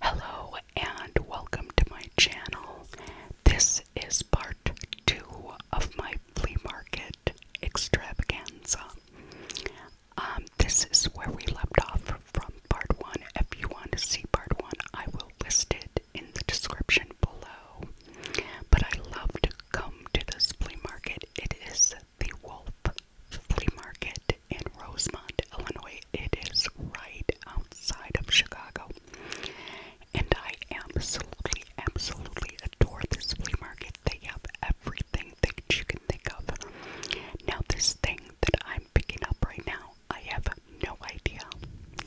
Hello and welcome to my channel. This is part two of my flea market extravaganza. Um, this is where we left off from part one. If you want to see part one, I will list it in the description below. But I love to come to the flea market. It is the Wolf Flea Market in Rosemont, Illinois. It is right outside of Chicago. And I absolutely, absolutely adore this flea market. They have everything that you can think of. Now, this thing that I'm picking up right now, I have no idea,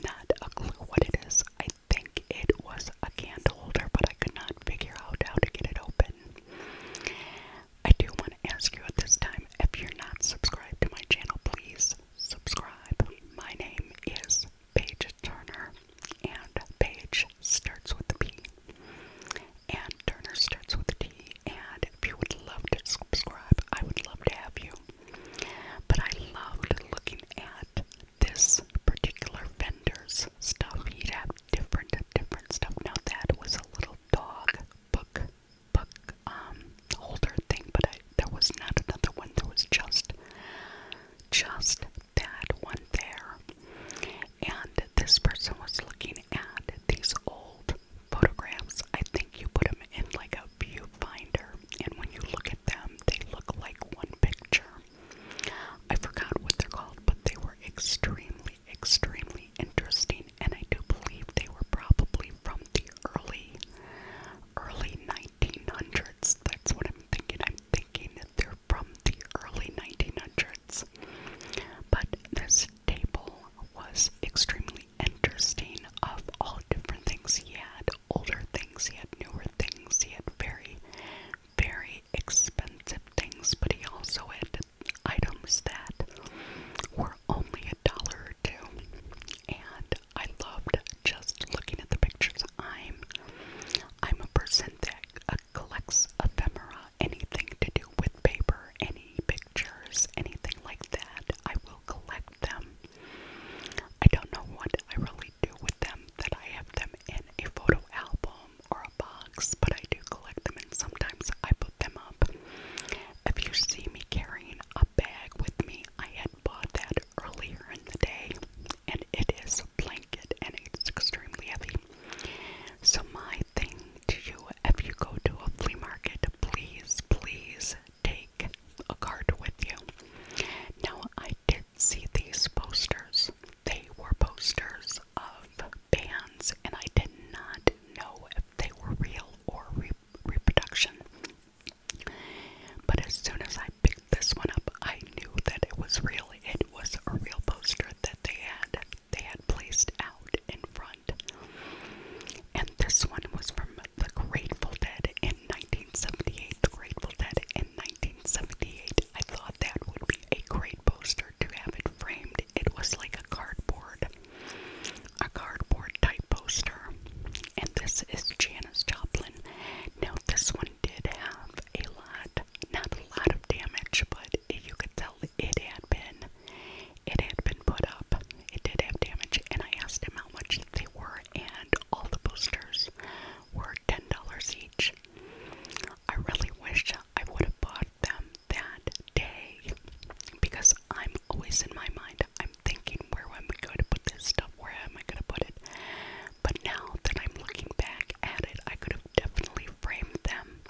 not a clue what it is. I think it was a candle holder, but I could not figure out how to get it open. I do want to ask you at this time if you're not subscribed to my channel, please subscribe. My name is Paige Turner, and Paige starts with a P, and Turner starts with a T. And if you would love to subscribe, I would love to have you. But I loved looking at this particular vendor's stuff. He'd have different, different stuff. Now that was a little dog book book um thing, but there was not another one. There was just just that one there. And this person was looking at these old photographs. I think you put them in like a viewfinder, and when you look at them, they look like one picture. I forgot what they're called, but they were extremely, extremely interesting, and I do believe they were probably from the early, early 1900s. That's what I'm thinking. I'm thinking that they're from the early 1900s. But this table was extremely interesting of all different things he had older things, he had newer things, he had very, very expensive things, but he also had items that were only a dollar her too. And I loved just looking at the pictures. I'm I'm a person that uh, collects ephemera, anything to do with paper, any pictures, anything like that. I will collect them. I don't know what I really do with them that I have them in a photo album or a box, but I do collect them and sometimes I put them up if you see me carrying a bag with me, I had bought that earlier in the day, and it is a blanket and it's extremely heavy. So, my thing to you if you go to a flea market, please, please take a card with you. Now, I did see these posters, they were posters of bands, and I did not know if they were real or real reproduction. But as soon as I picked this one up, I knew that it was real. It was a real poster that they had they had placed out in front. And this one was from The Grateful Dead in 1978. Grateful Dead in 1978. I thought that would be a great poster to have it framed. It was like a cardboard a cardboard type poster, and this is Janice Joplin. Now, this one did have a lot, not a lot of damage, but you could tell it had been, it had been put up. It did have damage, and I asked him how much they were, and all the posters were ten dollars each. I really wish I would have bought them that day because I'm always in my mind. I'm thinking, where am I going to put this stuff? Where am I going to put it? But now that I'm looking back at it, I could have definitely framed them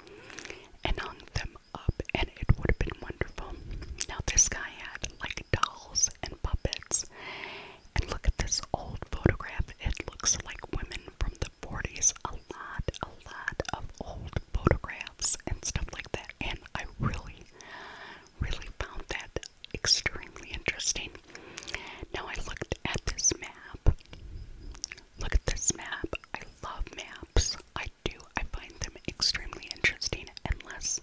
and hung them up, and it would have been wonderful. Now, this guy had like dolls and puppets. And look at this old photograph. It looks like women from the 40s. A lot, a lot of old photographs and stuff like that and I really, really found that extremely interesting. Now I looked at this map. Look at this map. I love maps. I do. I find them extremely interesting unless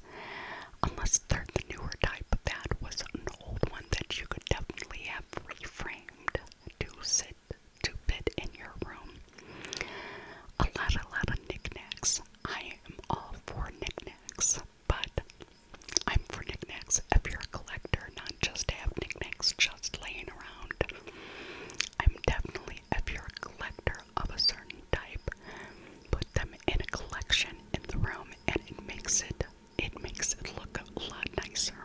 unless they're the newer type. That was an old one that you could definitely have reframed to sit to fit in your room. A lot a lot of knickknacks. I am all for knickknacks, but I'm for knickknacks if you're a collector, not just have knickknacks just laying around. I'm definitely, if you're a collector of a certain type, put them in a collection in the room and it makes it it makes it look a lot nicer.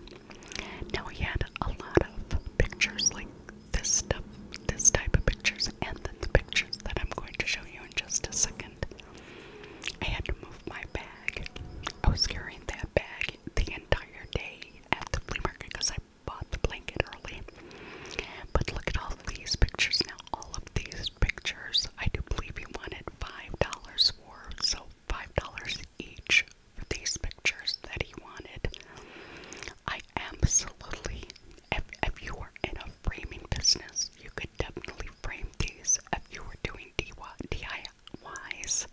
Now he had a lot of pictures like this stuff, this type of pictures, and then the pictures that I'm going to show you in just a second. I had to move my bag. I was carrying that bag the entire day at the flea market because I bought the blanket early. But look at all these pictures now. All of these pictures, I do believe he wanted $5 for, so $5 each for these pictures that he wanted. I absolutely, if, if you were in a framing business, you could definitely frame these. If you were doing DIYs,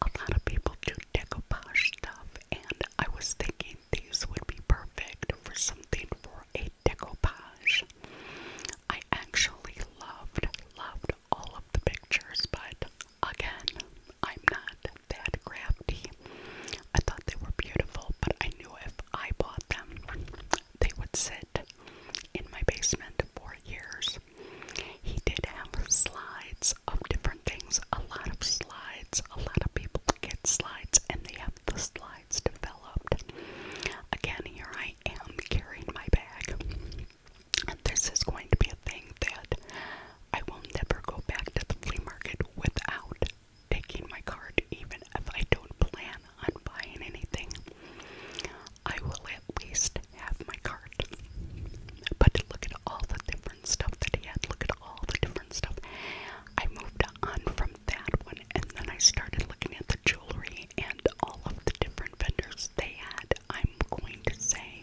a lot of people do decoupage stuff, and I was thinking these would be perfect for something for a decoupage. I actually loved, loved all of the pictures, but again, I'm not that crafty. I thought they were beautiful, but I knew if I bought them, they would sit in my basement for years. He did have slides of different things, a lot of slides. A lot of people get slides and they have the slides developed. Again, here I am carrying my bag. This is going to be a thing that I will never go back to the flea market without taking my card even if I don't plan on buying anything. I will at least have my card. But look at all the different stuff that he had. Look at all the different stuff. I moved on from that one and then I started looking at the jewelry and all of the different vendors they had. I'm going to say,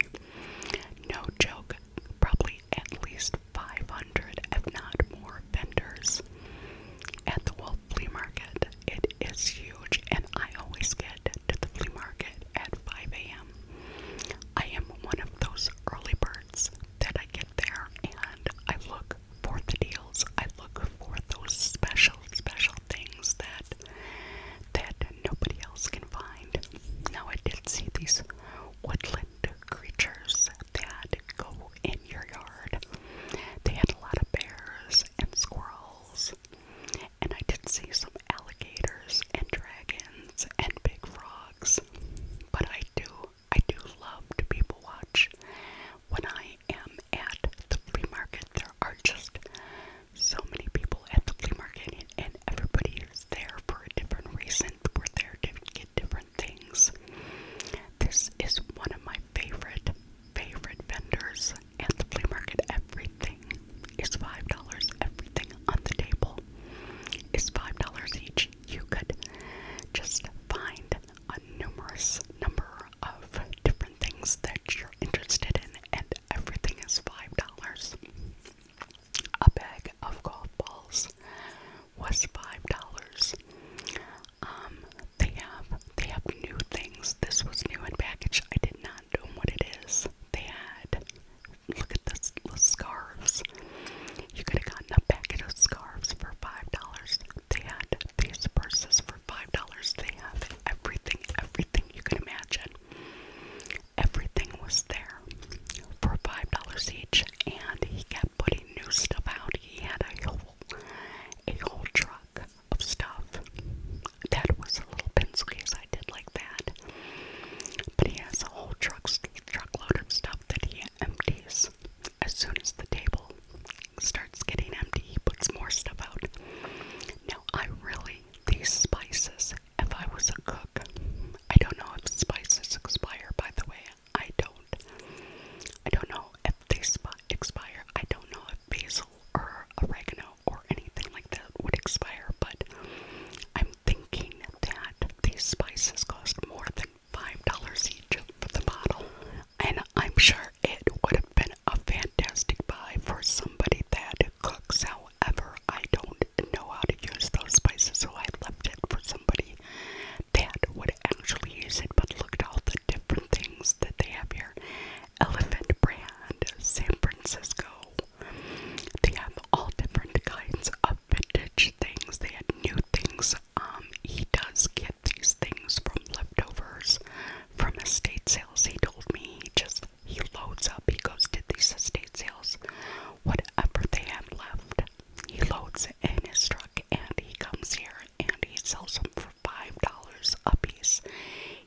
no joke, probably at least 500, if not more, vendors at the Wolf Flea Market. It is huge, and I always get to the flea market at 5 a.m. I am one of those early birds that I get there and I look for the deals. I look for those special, special things that that nobody else can find. Now I did see these woodland woodland creatures that go in your yard. They had a lot of bears and squirrels, and I did see some alligators and dragons and big frogs. But I do, I do love to people watch. When I am at the flea market, there are just so many people at the flea market, and, and everybody is there for a different reason. We're there to get different things. This is one of my favorite, favorite vendors at the flea market. Everything is $5. Everything on the table is $5 each. You could just find a numerous number of different things that you're interested in, and everything is $5. A bag of golf balls was five dollars. Um, they have they have new things. This was new in package. I did not know what it is. They had look at this scarves. You could have gotten a packet of scarves for five dollars. They had these purses for five dollars. They have everything, everything you can imagine. Everything was there for five dollars each and he kept putting new stuff out. He had a whole, a whole truck of stuff that was a little pencil case. I did like that, but he has a whole truck truckload of stuff that he empties as soon as the table starts getting empty. He puts more stuff out. Now I really these spices. If I was a cook, I don't know if spices expire. By the way, I don't. I don't know if they expire. I don't know if basil or oregano or anything like that would expire, but I'm thinking that these spices cost more than $5 each for the bottle. And I'm sure it would have been a fantastic buy for somebody that cooks. However, I don't know how to use those spices, so I left it for somebody that would actually use it, but look at all the different things that they have here. Elephant brand, San Francisco. They have all different kinds of vintage things. They had new things. Um, he does get these things from leftovers from estate sales. He told me he just he loads up. He goes to these estate sales whatever they have left. He loads it in his truck and he comes here and he sells them for five dollars a piece.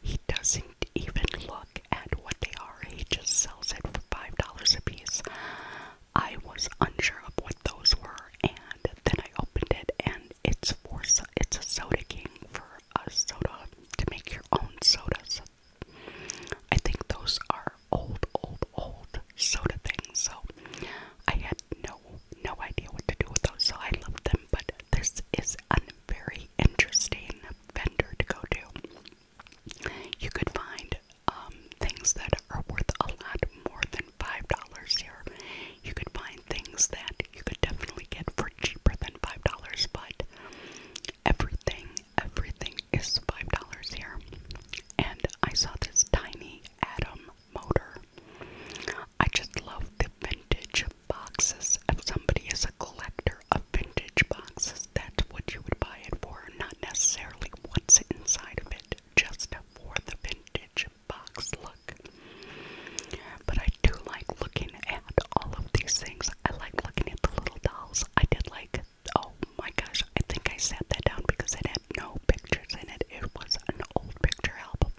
He doesn't even look at what they are, he just sells it for five dollars a piece. I was unsure of what those were and then I opened it and it's for it's a soda king for a soda to make your own sodas. I think those are old, old, old soda things. So I had no, no idea what to do with those. So I loved them. But this is a very interesting vendor to go to. You could find um, things that are worth a lot more than five dollars here. You could find things that you could definitely get for cheaper than five dollars, but everything, everything is five dollars here. And I saw this tiny Atom motor. I just love the vintage boxes. If somebody is a collector of vintage boxes, that's what you would buy it for, not necessarily what's inside of it, just for the vintage box look. But I do like looking at all of these things. I like looking at the little dolls. I did like, oh my gosh, I think I sat that down because it no pictures in it. It was an old picture album.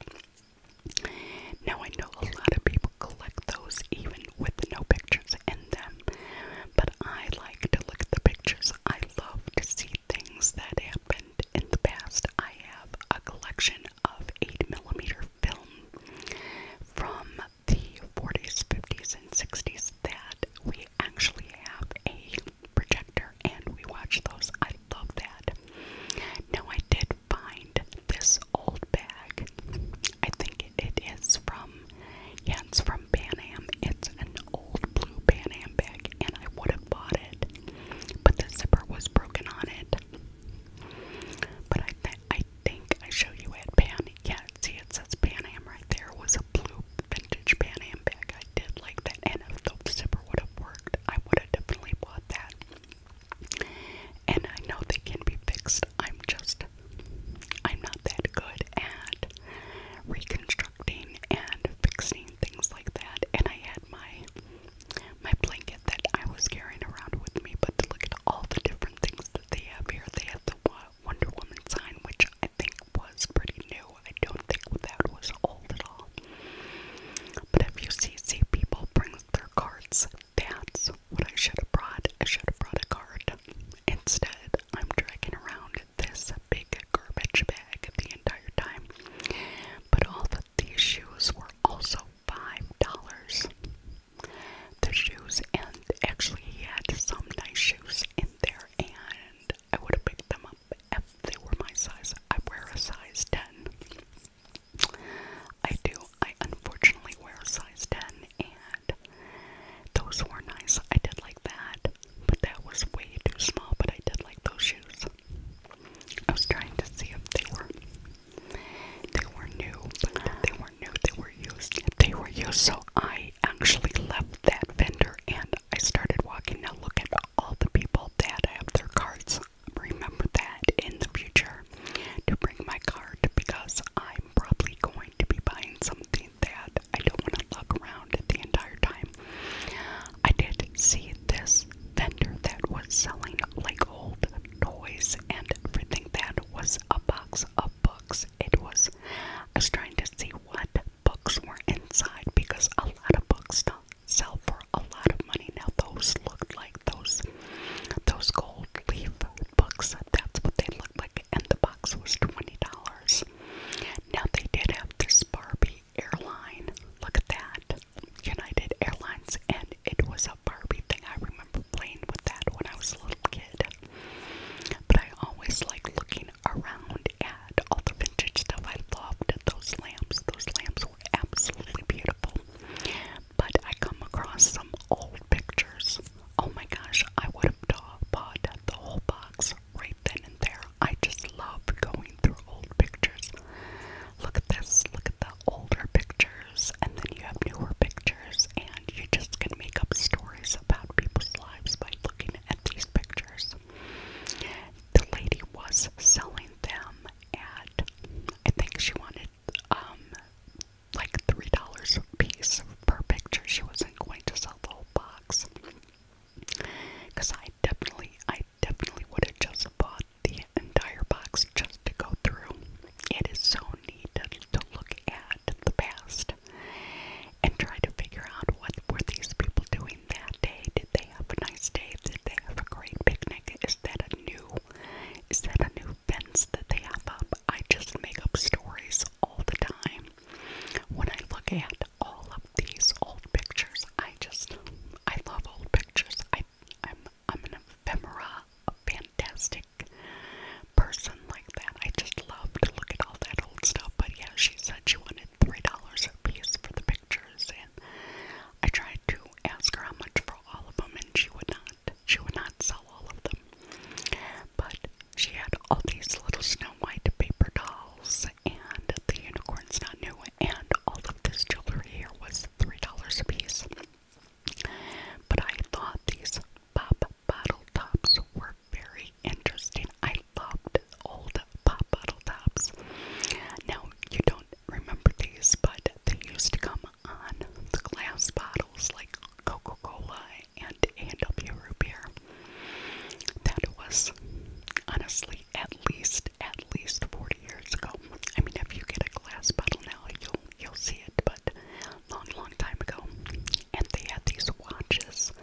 Now I know a lot of people collect those even with no pictures in them, but I like to look at the pictures. I love to see things that happened in the past. I have a collection of 8mm film from the 40s, 50s, and 60s that we actually have a projector and we watch those. I love that. Now, I did find this old bag. I think it is from, yeah, it's from Pan Am. It's an old blue Pan Am bag, and I would have bought it, but the zipper was broken on it. But I, I think I show you at Pan. Yeah, see, it says Pan Am right there. Was a blue vintage Pan bag. I did like that, and if the zipper would have worked, I would have definitely bought that. And I know they can be fixed. I'm just, I'm not that good at reconstructing and fixing things like that. And I had my my blanket that I was carrying around with me, but to look at all the different things that they have here, they have the Wonder Woman sign, which I think was pretty new. I don't think that was old at all. But if you see, see people bring their cards, that's what I should have brought. I should have brought a card. Instead, I'm dragging around this big garbage bag the entire time. But all of these shoes were also $5. The shoes, and actually, he had some nice shoes in there, and I would have picked them up up if they were my size. I wear a size 10. I do. I unfortunately wear a size 10, and those were nice. I did like that, but that was way too small, but I did like those shoes. I was trying to see if they were they were new, but they were new, they were used. They were used, so I actually left that vendor and I started walking. Now look at all the people that have their cards. Remember that in the future to bring my card because I'm probably going to be buying something that I don't want to look around the entire time. I did see this vendor that was selling like old toys and everything that was a box of books. It was I was trying to see what books were inside because a lot of books don't sell for a lot of money. Now those looked like those those gold leaf books. That's what they looked like, and the box was twenty dollars. Now they did have this Barbie airline. Look at that, United Airlines, and it was a Barbie thing. I remember playing with that when I was a little kid. But I always like looking around at all the vintage stuff. I loved those lamps. Those lamps were absolutely beautiful. But I come across some old pictures. Oh my gosh, I would have bought the whole box right then and there. I just love going through old pictures. Look at this, look at the older pictures, and then you have newer pictures, and you just can make up stories about people's lives by looking at these pictures. The lady was selling them at, I think she wanted um, like $3 a piece per picture. She wasn't going to sell the whole box. Because I definitely, I definitely would have just bought the entire box just to go through. It is so neat to look at the past and try to figure out what were these people doing that day. Did they have a nice day? Did they have a great picnic? Is that a new is that a new fence that they have up? I just make up stories all the time. When I look at all of these old pictures, I just I love old pictures. I I'm I'm an ephemera, a fantastic person like that. I just love to look at all that old stuff. But yeah, she said she wanted three dollars a piece for the pictures, and I tried to ask her how much for all of them, and she would not. She would not sell all of them. But she had all these little Snow White paper dolls, and the unicorn's not new, and all of this jewelry here was $3 a piece. But I thought these pop bottle tops were very interesting. I loved old pop bottle tops. Now, you don't remember these, but they used to come on the glass bottles like Coca Cola and A&W root beer. That was honestly at least at least 40 years ago. I mean, if you get a glass bottle now, you'll you'll see it, but long long time ago. And they had these watches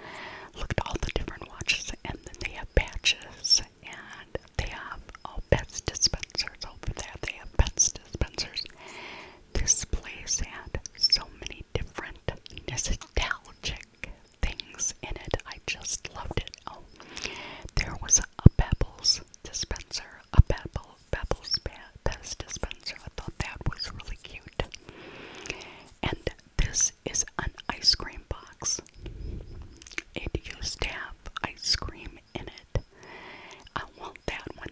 Looked all the different watches, and then they have patches, and they have all pets dispensers over there. They have pets dispensers. This place had so many different nostalgic things in it. I just loved it. Oh, there was a Pebbles dispenser, a Pebble Pebbles Pez dispenser. I thought that was really cute. And this is an ice cream box. It used to have ice cream in it. I want that one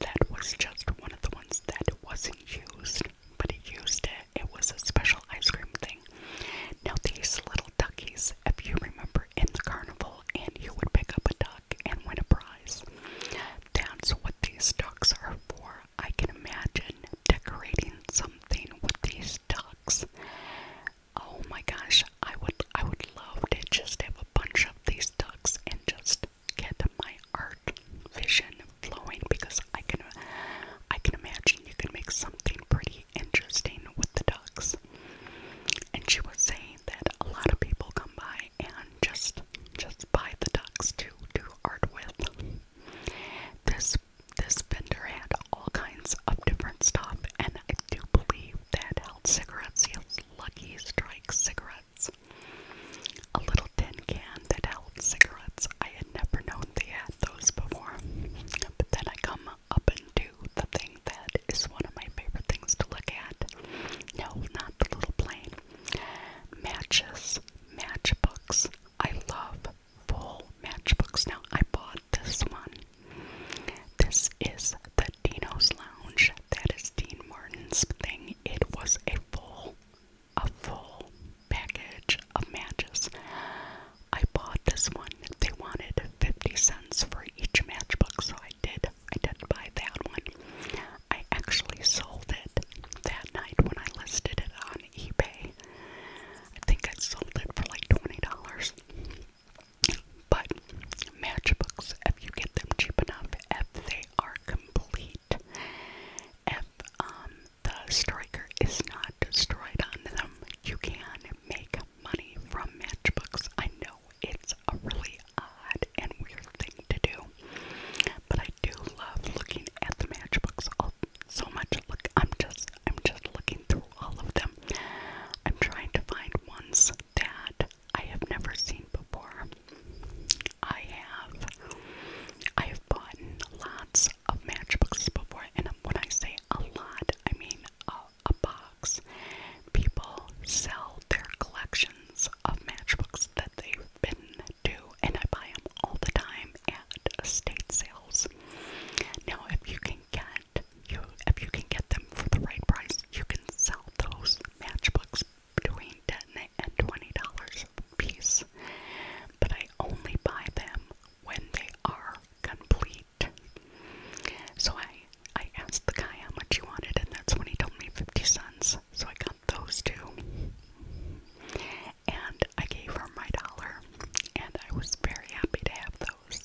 That was just one of the ones that wasn't used, but it used it. It was a special ice cream thing. Now, these little duckies, if you remember, in the carnival, and you would pick up a duck and win a prize. That's what these ducks are for. I can imagine decorating something with these ducks. Oh my gosh, I would I would love to just have a bunch of these ducks and just get my art vision flowing because I can I can imagine you can make something pretty interesting with the ducks. And she was saying that a lot of people come by and just just buy the ducks to do art with. This this vendor had all kinds of different stuff, and I do believe that held cigarettes. He has Lucky Strike cigarettes, a little tin can that held cigarettes. I had never known they had those before, but then I come up and do the thing that is one of my favorite things to look at. No, not the little plane. Matches, matchbooks. I love full matchbooks. Now, I bought this one. This is the Dino's Lounge. That is Dean Martin's thing. It was a full, a full package of matches. I bought this one. They wanted 50 cents for each matchbook, so I did. I did buy that one. I actually sold it that night when I listed it on eBay. I think I sold it for like $20. But matchbooks, if you get them cheap enough, if they are complete, if um, the striker is not destroyed on them, you can make money from matchbooks. I know it's a really odd and weird thing to do, but I do love looking at the matchbooks so much. Look, I'm just, I'm just looking through all of them. I'm trying to find ones that I have never seen before. I have, I have bought lots of matchbooks before, and when I say a lot, I mean a, a box. People sell their collections of matchbooks that they've been to, and I buy them all the time at estate sales. Now, if you can get you if you can get them for the right price, you can sell those matchbooks between ten and twenty dollars a piece. But I only buy them when they are complete. So I I asked the guy how much he wanted, and that's when he told me fifty cents. So I got those two and I gave her my dollar, and I was very happy to have those.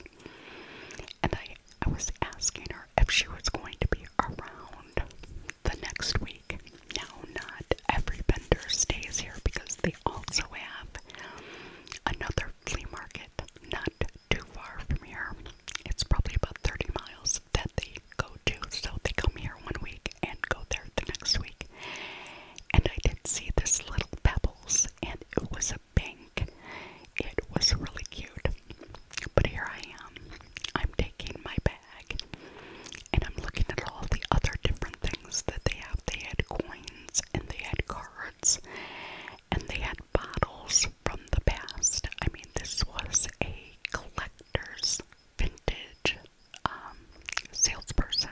And I, I was asking her if she was going to be around the next week. Now, not every vendor stays here because they also have another flea market not too far from here. It's probably about 30 miles that they go to, so they come here one week and go there the next week and I did see this little pebbles, and it was a pink. It was really cute. But here I am. I'm taking my bag, and I'm looking at all the other different things that they have. They had coins, and they had cards, and they had bottles from the past. I mean, this was a collector's vintage um, salesperson.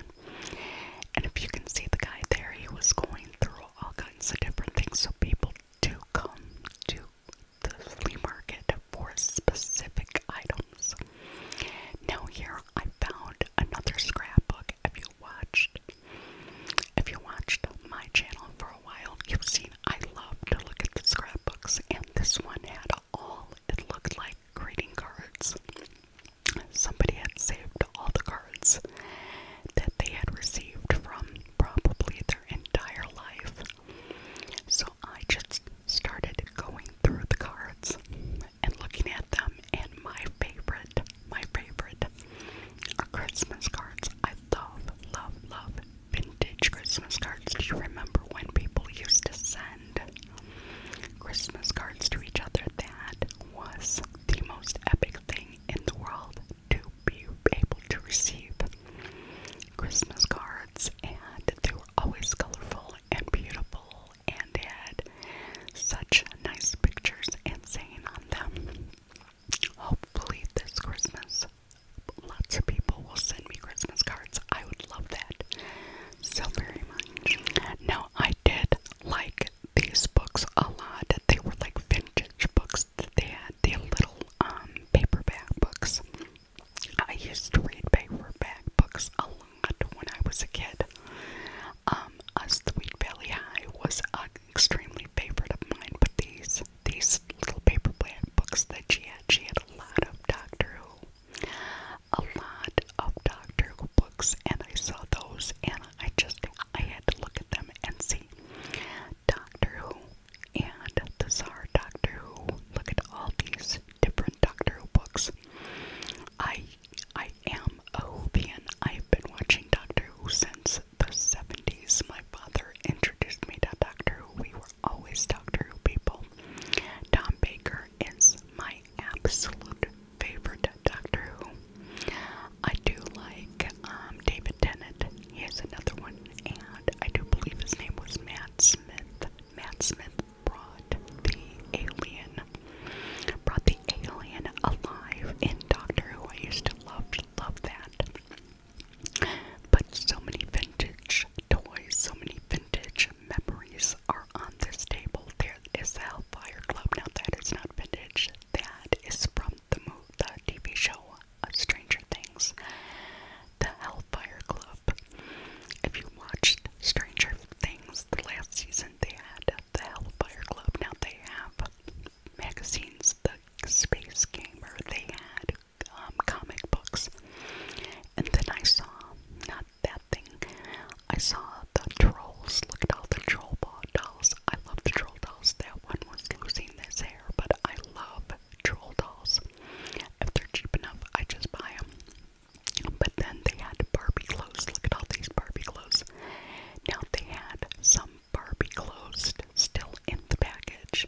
And if you can see the guy there, he was going through all kinds of different things. So people do come to the flea market for specific items. Now here I found another scrapbook. Have you watched? If you watched my channel for a while, you've seen I love to look at the scrapbooks, and this one had all it looked like greeting cards. Somebody had saved all the cards that they had received from probably their entire life. So I just started going through the cards and looking at them and my favorite, my favorite are Christmas cards. I love, love, love vintage Christmas cards. Do you remember when people used to send Christmas cards to each other. That was the most epic thing in the world to be able to receive Christmas cards, and they were always colorful and beautiful and had such nice pictures and saying on them. Hopefully, this Christmas, lots of people will send me Christmas cards. I would love that so very much. Now, I did like like these books a lot. They were like vintage books that they had, the little um paperback books. I used to read paperback books a lot when I was a kid. Um, a Sweet Valley High was an extremely favorite of mine, but these these little paperback books that she had, she had a lot of Doctor Who, a lot lot of Doctor Who books, and I saw those, and I just I had to look at them and see Doctor Who and the Czar Doctor Who. Look at all these different Doctor Who books. I I am a Whovian. I've been watching Doctor Who since the 70s. My father introduced me to Doctor Who. We were always Doctor Who people. Tom Baker is my absolute favorite Doctor Who. I do like um, David Tennant. He has another one, and I do believe his name was Matt Smith. Matt Smith brought the alien, brought the alien alive in Doctor Who. I used to love, love that. But so many vintage toys, so many vintage memories are on this table there is the Hellfire Club. Now that is not vintage. That is from the TV show of Stranger Things. The Hellfire Club. If you watched Stranger Things the last season, they had the Hellfire Club. Now they have magazines, the Space Gamer. They had um, comic books. And then I saw, not that thing, I saw the trolls. Look at all the troll ball dolls. I love the troll dolls. That one was losing this hair, but I love troll dolls. If they're cheap enough, I just buy them. But then they had Barbie clothes. Look at all these Barbie clothes. Now they had some Barbie clothes still in the package.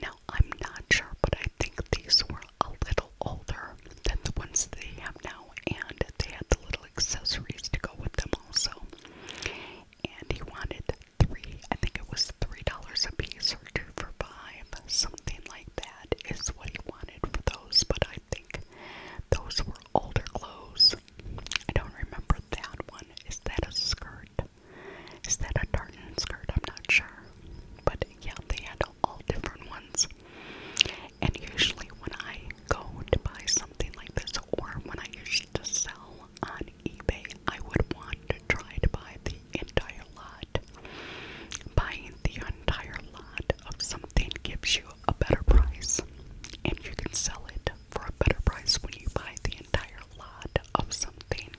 Now I'm not sure, but I think these were a little older than the ones they have now, and they had the little accessories to go with them also. And he wanted three, I think it was three dollars a piece or two for five, something like that is what he wanted for those, but I think those were older clothes. I don't remember that one. Is that a skirt? Is that a tartan skirt? I'm not sure. But yeah, they had all different ones. And usually, when I go to buy something like this, or when I used to sell on eBay, I would want to try to buy the entire lot. Buying the entire lot of something gives you a better price, and you can sell it for a better price when you buy the entire lot of something.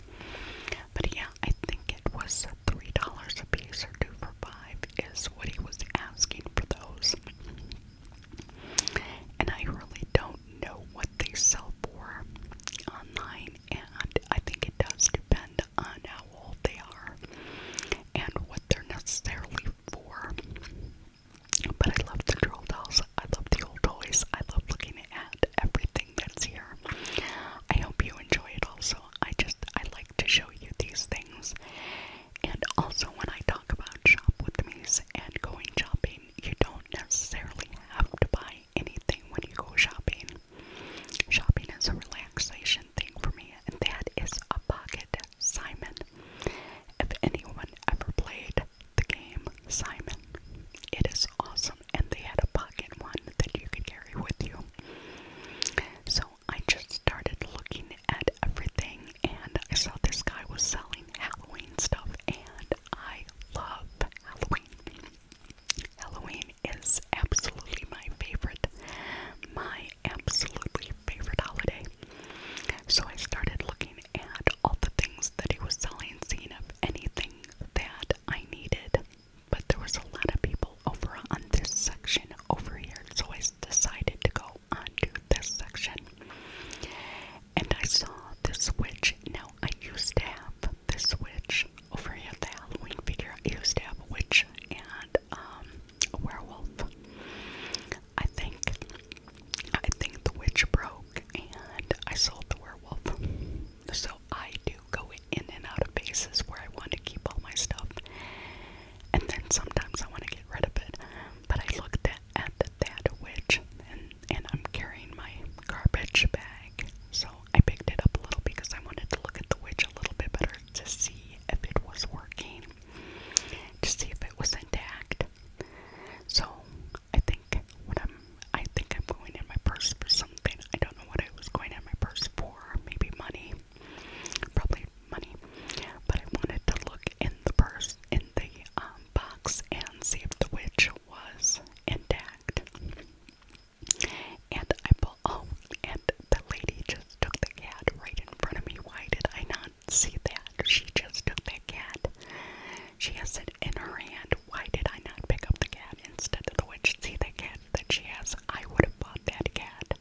But yeah, I think it was $3 a piece or two for five is what he was asking for those and I really don't know what they sell for online, and I think it does depend on how old they are and what they're necessarily for. But I love the drill dolls, I love the old toys, I love looking at everything that's here. I hope you enjoy it also. I just I like to show you these things. And also when I talk about shop with me's and going shopping. You don't necessarily have to buy anything when you go shopping. Shopping is a relaxation thing for me, and that is a pocket Simon. If anyone ever played the game Simon, it is awesome, and they had a pocket one that you could carry with you. So I just started looking at everything and I saw this guy was selling Halloween stuff and I love Halloween. Halloween is absolutely my favorite. My absolutely favorite holiday. So I started looking at all the things that he was selling, seeing if anything that I needed. But there was a lot of people over on this section over here, so I decided to go onto this section. And I saw this witch. Now, I used to have this witch over here at the Halloween figure. I used to have a witch and um, a werewolf. I think, I think the witch broke and I sold the werewolf. So I do go in and out of places where I want to keep all my stuff and then sometimes I want to get rid of it. But I looked at, that witch, and, and I'm carrying my garbage bag, so I picked it up a little because I wanted to look at the witch a little bit better to see if it was working, to see if it was intact. So I think what I'm, I think I'm going in my purse for something. I don't know what I was going in my purse for, maybe money probably money. But I wanted to look in the purse, in the um, box, and see if the witch was intact. And I pulled out, oh, and the lady just took the cat right in front of me. Why did I not see that? She just took that cat. She has it in her hand. Why did I not pick up the cat instead of the witch? See the cat that she has? I would have bought that cat.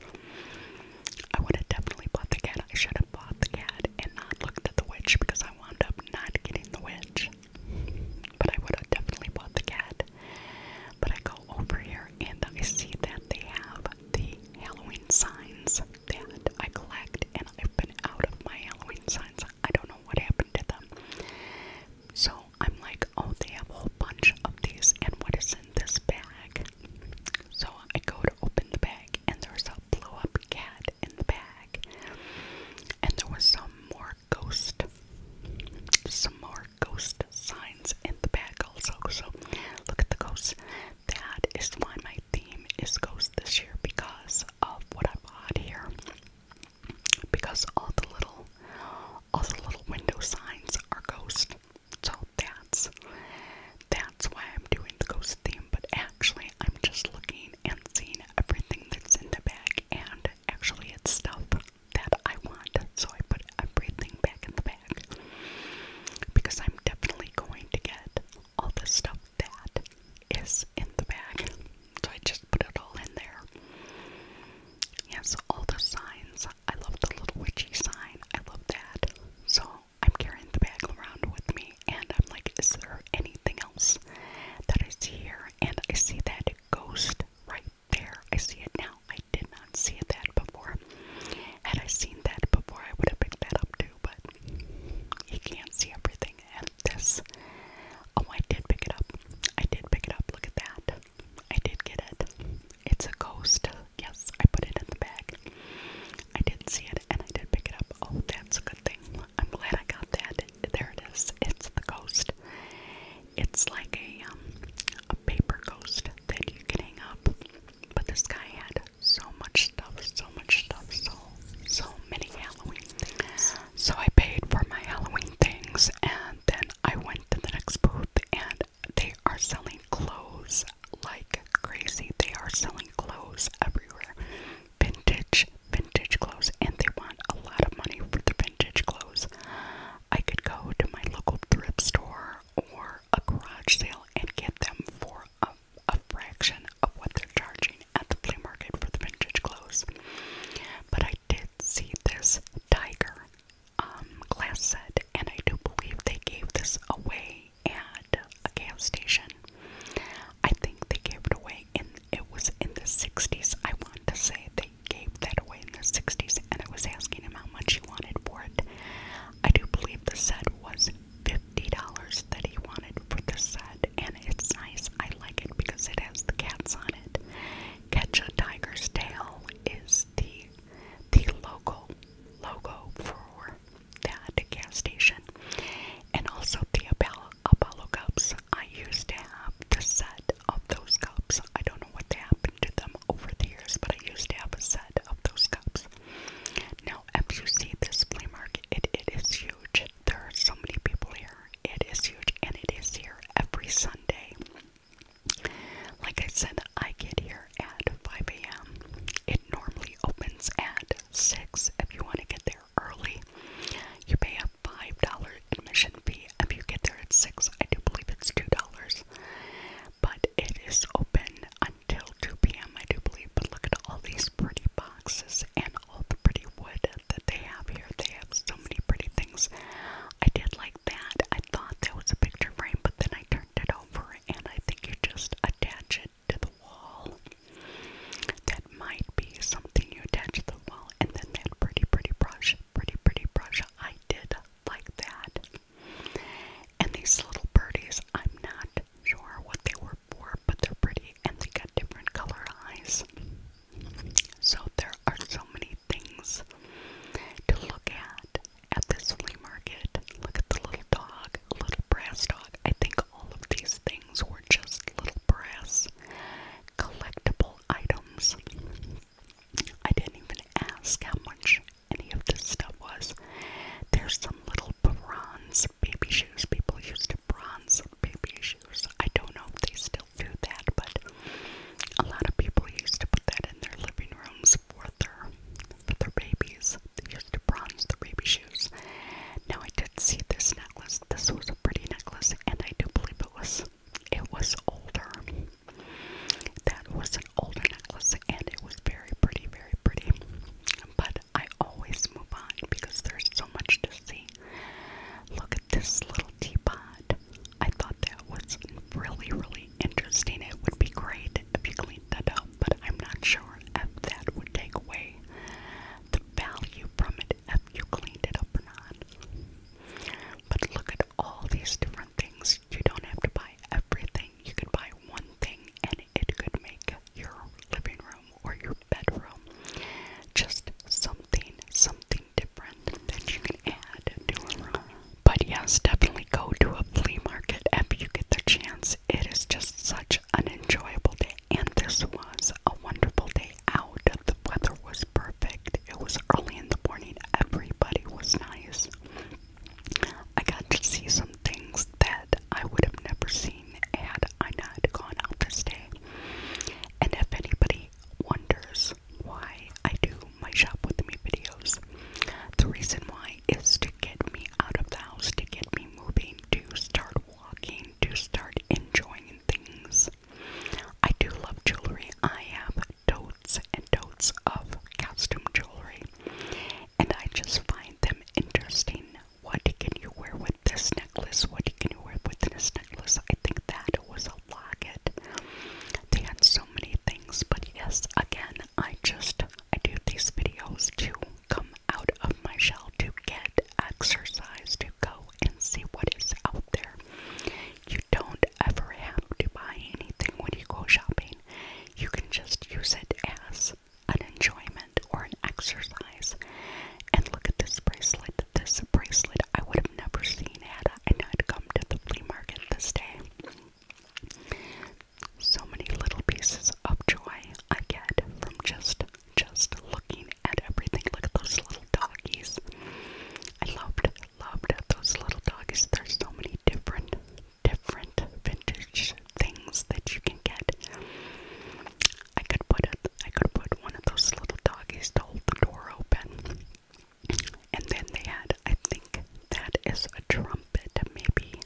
I would have definitely bought the cat. I should have had bought the cat and not looked at the witch because I wound up not getting the witch. But I would have definitely bought the cat. But I go over here and I see that they have the Halloween signs that I collect, and I've been out of my Halloween signs. I don't know what happened to them. So I'm like, oh, they have a whole bunch of these, and what is in this bag? So I go to open the bag, and there was a blow up cat in the bag, and there was some more ghost, some more ghost signs in the bag also. So look at the ghosts. That is why my theme is ghosts this year because of what I bought here. Because all the little, all the little window signs are ghosts. So that's that's why I'm doing the ghost theme, but actually I'm just looking and seeing everything that's in the bag and actually it's stuff that I want. So I put everything back in the bag. Because I'm definitely going to get all the stuff that is in the bag. So I just put it all in there. Yes, all the signs. I love the little witchy sign. I love that. So I'm carrying the bag around with me, and I'm like, is there anything else that is here? And I see that ghost right there. I see it now. I did not see that before. Had I seen that before, I would have picked that up too, but you can't see everything And this. Oh, I did pick it up. I did pick it up. Look at that. I did get it. It's a ghost. Yes, I put it in the bag. I did see it and I did pick it up. Oh, that's a good thing. I'm glad I got that. There it is. It's the ghost. It's like a um a paper ghost that you can hang up. But this guy had so much stuff, so much stuff, so so many Halloween things. So I paid for my Halloween things and then I went to the next booth and they are selling clothes like crazy. They are selling clothes everywhere. Vintage, vintage clothes, and they want a lot of money for the vintage clothes. I could go to my local thrift store or a garage sale and get them for a, a fraction of what they're charging at the flea market for the vintage clothes. But I did see this tiger um, glass set, and I do believe they gave this away coffee at a gas station. I think they gave it away in it was in the 60s. I want to say they gave that away in the 60s and I was asking him how much he wanted for it. I do believe the set was $50 that he wanted for the set and it's nice. I like it because it has the cats on it. Catch a Tiger's Tail is the the logo logo for that gas station. And also the Apollo, Apollo cups. I used to have the set of those cups. I don't know what happened to them over the years, but I used to have a set of those cups. Now, as you see this flea market, it, it is huge. There are so many people here. It is huge, and it is here every Sunday. Like I said, I get here at 5 a.m. It normally opens at 6 if you want to get there early. You pay a $5 admission fee if you get there at 6. I do believe it's $2. But it is open until 2 p.m., I do believe. But look at all these pretty boxes and all the pretty wood that they have here. They have so many pretty things. I did like that. I thought that was a picture frame, but then I turned it over and I think you just attach it to the wall. That might be something you attach to the wall. And then that pretty, pretty brush, pretty, pretty brush. I did like that. And these little birdies, I'm not sure what they were for, but they're pretty and they got different color eyes. So there are so many things to look at at this flea market. Look at the little dog, little brass dog. I think all of these things were just little brass collectible items. I didn't even ask how much any of this stuff was. There's some little bronze baby shoes. People used to bronze baby shoes. I don't know if they still do that, but a lot of people used to put that in their living rooms for their for their babies used to bronze the baby shoes. Now I did see this necklace. This was a pretty necklace, and I do believe it was it was older. That was an older necklace, and it was very pretty, very pretty. But I always move on because there's so much to see. Look at this little teapot. I thought that was really, really interesting. It would be great if you cleaned that up up, but I'm not sure if that would take away the value from it if you cleaned it up or not. But look at all these different things. You don't have to buy everything. You could buy one thing and it could make your living room or your bedroom just something, something different that you can add to a room. But yes, definitely go to a flea market if you get the chance it is just such an enjoyable day. And this was a wonderful day out. The weather was perfect. It was early in the morning. Everybody was nice. I got to see some things that I would have never seen had I not gone out this day. And if anybody wonders why I do my shop with me videos, the reason why is to get me out of the house, to get me to start walking, to start enjoying things. I do love jewelry. I have totes and totes of costume jewelry, and I just find them interesting. What can you wear with this necklace? What can you wear with this necklace? I think that was a locket. They had so many things, but yes, again, I just I do these videos to come out of my shell, to get exercise, to go and see what is out there. You don't ever have to buy anything when you go shopping, you can just use it as an enjoyment or an exercise. And look at this bracelet. This bracelet I would have never seen had I not come to the flea market this day. So many little pieces of joy I get from just just looking at everything. Look at those little doggies. I loved loved those little doggies. There's so many different different vintage things that you can get. I could put it I could put one of those little doggies to hold the door open. And then they had, I think that is a drum maybe.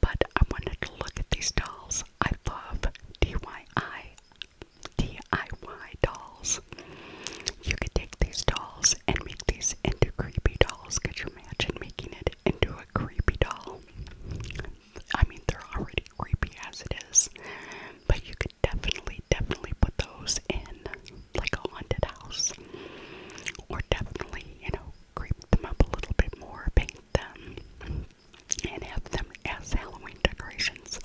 But I wanted to look at these dolls. I love DIY, DIY dolls. You could take these dolls and make these into creepy dolls. Could you imagine making it into a creepy doll? I mean, they're already creepy as it is, but you could definitely, definitely put those in like a haunted house, or definitely, you know, creep them up a little bit more, them and have them as Halloween decorations.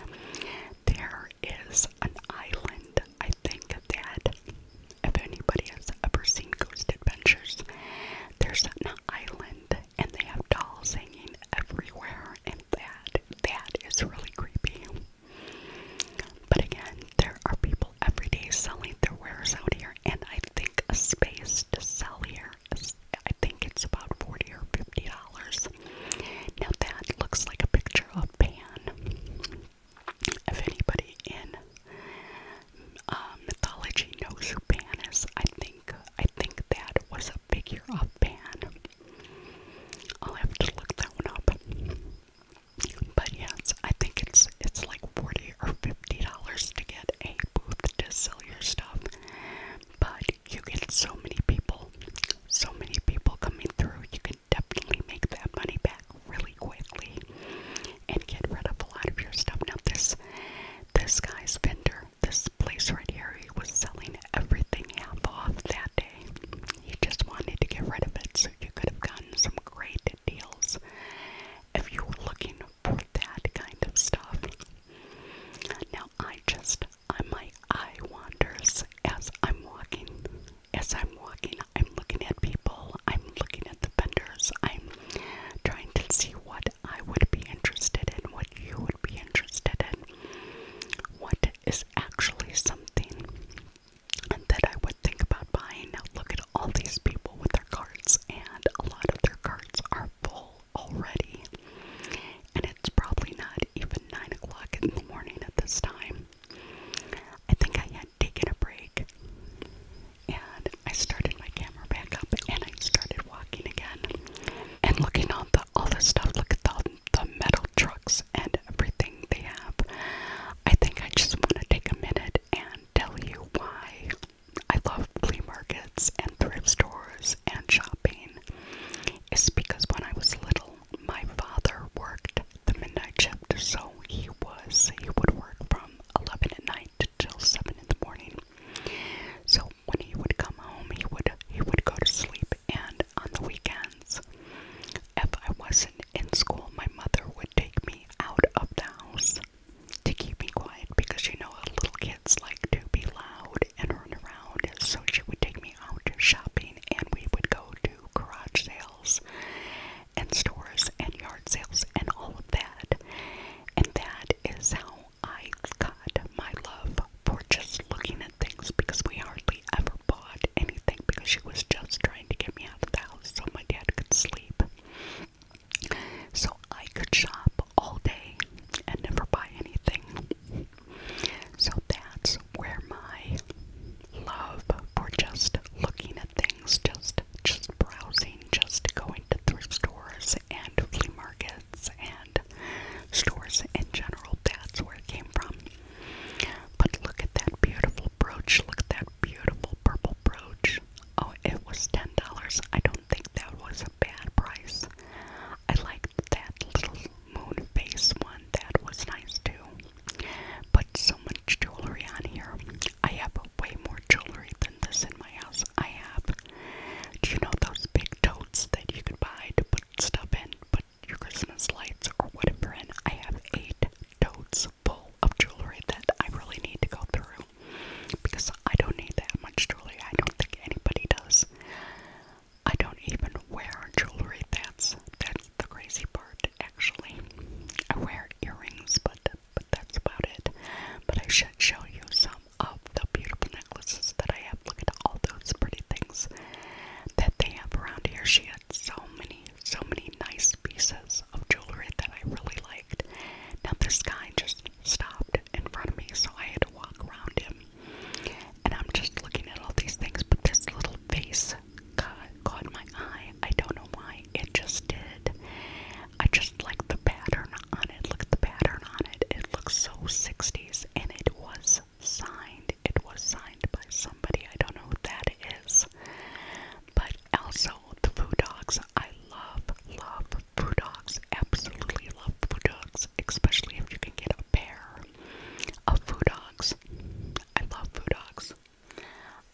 There is an island, I think, that if anybody has ever seen Ghost Adventures, there's an island and they have dolls hanging everywhere, and that that is really creepy. But again, there are people every day selling their wares out here and I think a space to sell here is, I think it's about 40 or 50 dollars. Now that looks like a picture of Pan. If anybody in uh, mythology knows who Pan is, I think I think that was a figure of Pan. I'll have to look that one up. But yes, I think it's it's like 40 or 50 dollars to get a booth to sell your stuff but you get so many people so many people coming through you can definitely make that money back really quickly and get rid of a lot of your stuff now this this guy's vendor this place right here he was selling everything half off that day he just wanted to get rid of it so you could have gotten some great deals if you were looking for that kind of stuff. Now I just my eye wanders as I'm walking. As I'm walking, I'm looking at people, I'm looking at the vendors, I'm trying to see what I would be interested in, what you would be interested in, what is actually something that I would think about buying. Now look at all these people with their their and a lot of their carts are full already. And it's probably not even 9 o'clock in the morning at this time. I think I had taken a break and I started my camera back up and I started walking again and looking on the, all the stuff. Look at the, the metal trucks and everything they have. I think I just want to take a minute and tell you why I love flea markets and thrift stores and shopping is because when I was little, my father worked the midnight shift, so he was he would work from eleven at night till seven in the morning. So when he would come home, he would he would go to sleep, and on the weekends, if I wasn't in school, my mother would take me out of the house to keep me quiet because you know little kids like to be loud and run around. So she would take me out shopping and we would go to garage sales and stores and yard sales and all of that. And that is how I got my love for just looking at things because we hardly ever bought anything because she was just trying to get me out of the house so my dad could sleep. So I could shop all day and never buy anything. So that's where my love for just looking at things, just just browsing, just going to thrift stores and flea markets and stores in general, that's where it came from. But look at that beautiful brooch, look at that beautiful purple brooch. Oh, it was ten dollars. I don't think that was a bad price. I liked that little moon face one. That was nice too. But so much jewelry on here. I have way more jewelry than this in my house. I have. Do you know those big totes that you can buy to put stuff in, put your Christmas lights or whatever in? I have eight totes full of jewelry that I really need to go through because I don't need that much jewelry. I don't think anybody does. I don't even wear jewelry. That's that's the crazy part. Actually, I wear earrings, but but that's about it. But I should show you some of the beautiful necklaces that I have. Look at all those pretty things that they have around here. She had so many, so many nice pieces of jewelry that I really liked. Now this guy just stopped in front of me, so I had to walk around him. And I'm just looking at all these things, but this little face caught, caught my eye. I don't know why, it just did. I just like the pattern on it. Look at the pattern on it. It looks so 60s, and it was signed. It was signed by somebody. I don't know who that is. But also, the food dogs. I love, love food dogs. Absolutely love food dogs, especially if you can get a pair of food dogs. I love food dogs.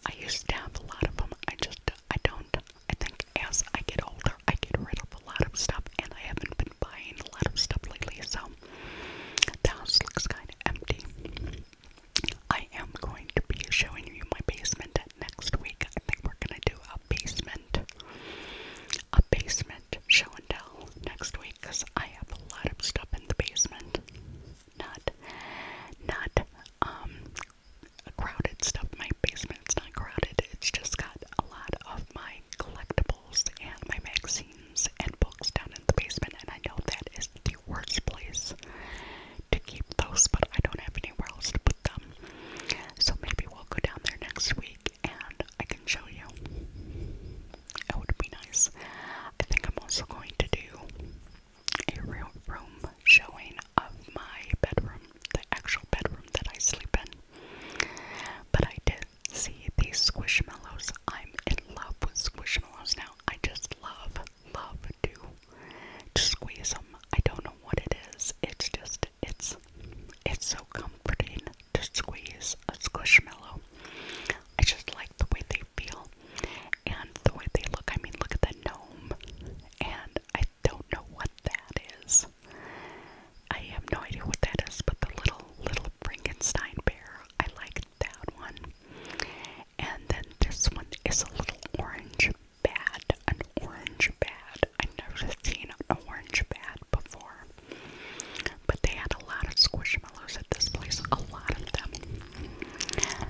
I used to have a lot of them. I just, I don't. I think as I get older, I get rid of a lot of stuff, and I haven't been buying a lot of stuff lately, so the house looks kind of empty. I am going to be showing you my basement next week I think we're gonna do a basement, a basement show and tell next week because I have a lot of stuff in the basement. Not, not um, crowded stuff. My basement basement's not crowded. It's just got a lot of my collectibles and my magazines and books down in the basement, and I know that is the worst place to keep those, but I don't have anywhere else to put them. So maybe we'll go down there next week and I can show you. It would be nice. I think I'm also going to do a real room showing of my bedroom, the actual bedroom that I sleep in. But I did see these squishmallows. I'm in love with squishmallows now. I just love, love do, to squeeze them. I don't know what it is. It's just it's it's so comforting to squeeze a squishmallow. I just like the way they feel and the way they look. I mean, look at the gnome, and I don't know what that is. I have no idea what that is, but the little little Frankenstein bear, I like that one. And then this one is a little orange bat, an orange bat. I've never seen an orange bat before. But they had a lot of squishmallows at this place, a lot of them.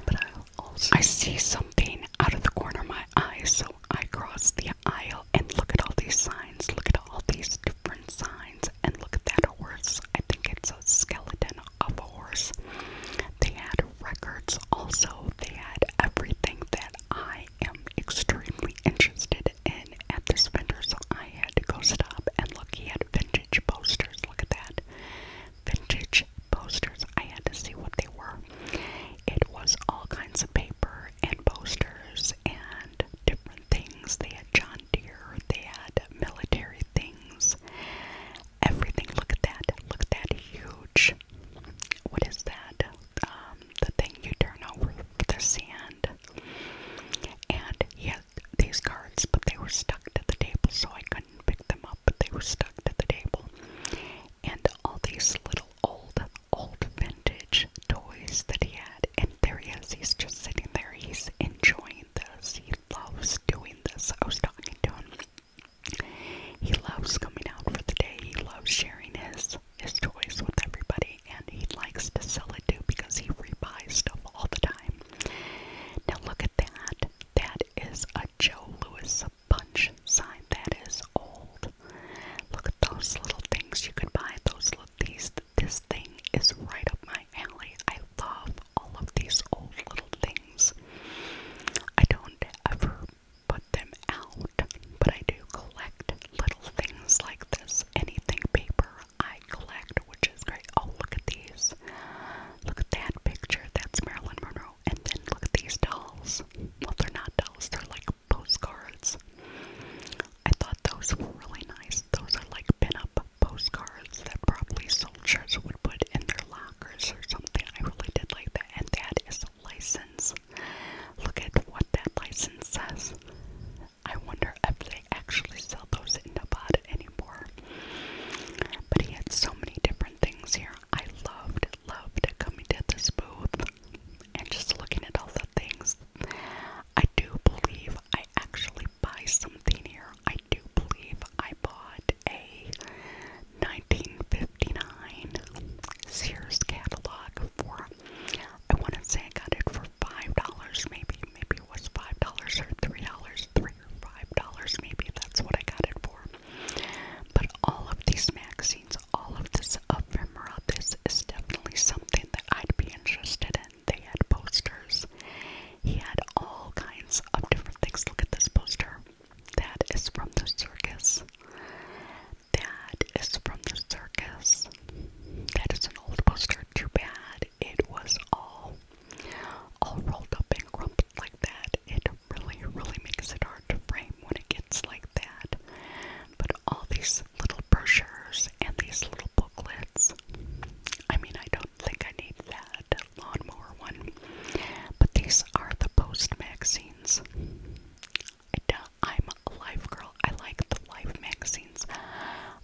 But I also I see something out of the corner of my eye, so I cross the aisle and look at all these signs. Look at all these different signs and look at that horse. I think it's a skeleton of a horse. They had records also. They had everything that that I am extremely interested in at this vendor, so I had to go stop and look. He had vintage posters. Look at that. Vintage posters. I had to see what they were. It was all kinds of paper and posters and different things. They had John Deere, they had military things, everything. Look at that. Look at that huge what is that? Um, the thing you turn over the sand. And he these cards, but they were stuck to the table, so I couldn't pick them up, but they were stuck to the table. And all these little old, old vintage toys that he had. And there he is, he's just sitting there, he's enjoying this, he loves doing this. I was talking to him he loves coming out for the day. He loves sharing his his toys with everybody, and he likes to sell it too because he rebuys stuff all the time. Now look at that. That is a Joe Lewis punch sign. That is old. Look at those little things you could buy. Those little these. This thing is right up my alley. I love all of these old little things. I don't ever put them out, but I do collect little things like this. Anything paper I collect, which is great. Oh, look at these. Look at that picture. That's Marilyn Monroe. And then look at these dolls. Well, they're not dolls, they're like postcards. I thought those were really nice. Those are like pin-up postcards that probably soldiers would put in their lockers or something. I really did like that. And that is license. Look at what that license says. I wonder if they actually sell those in Nevada anymore. But he had so many different things here. I loved, loved coming to this booth and just looking at all the things. I do believe I actually buy something here. I do believe I bought a 1959 Sears catalog for I want to say I got it for five dollars maybe maybe it was five dollars or three dollars three or five dollars maybe that's what I got it for but all of these magazines all of this ephemera this is definitely something that I'd be interested in they had posters he had all kinds of different things look at this poster that is from the circus that is from the circus. That is an old poster. Too bad it was all all rolled up and crumpled like that. It really, really makes it hard to frame when it gets like that. But all these little brochures and these little booklets. I mean, I don't think I need that lawnmower one. But these are the post magazines. I I'm a life girl. I like the life magazines.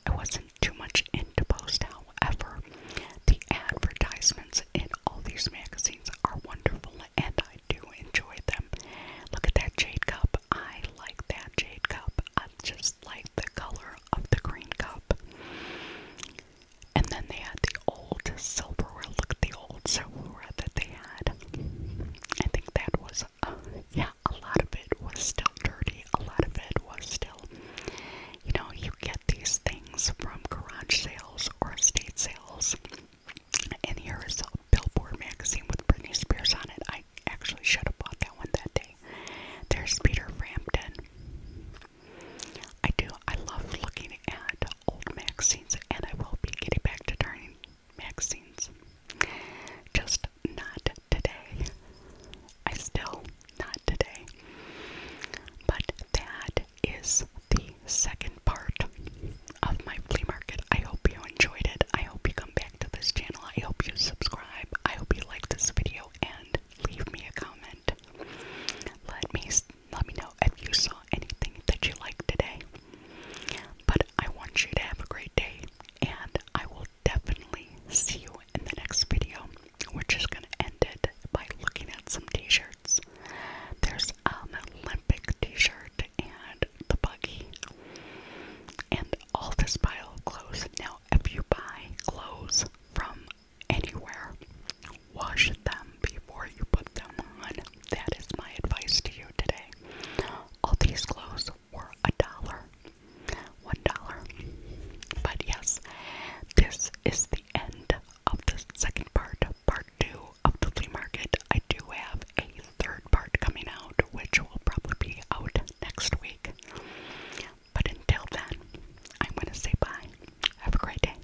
I wasn't too much into Post, however, the advertisements in all these magazines are wonderful and I do enjoy them. Look at that jade cup. I like that jade cup. I just like the color of the green cup. And then they had the old silverware. Look at the old silverware that they had bed. I think that was, uh, yeah, a lot of it was still dirty. A lot of it was still, you know, you get these things from garage sales or estate sales. And here is a Billboard magazine with Britney Spears on it. I actually should have bought that one that day. There's Peter Frampton. I do. I love looking at old magazines, and I will be getting back to turning vaccines. Just not today. I still not today. But that is the second part of my flea market. I hope you enjoyed it. I hope you come back to this channel. I hope you subscribe. I hope you like this video and leave me a comment. Let me let me know if you saw anything that you liked today. But I want you to have a great day, and I will definitely see you in the next video, We're just going to end it by looking at some t shirts. There's an Olympic t shirt and the buggy, and all this pile of clothes. Now, if you buy clothes from anywhere, wash them before you put them on that is my advice to you today. All these clothes were a dollar. One dollar. But yes, this is the end of the second part, part two of the flea market. I do have a third part coming out, which will probably be out next week. But until then, I'm going to say bye. Have a great day.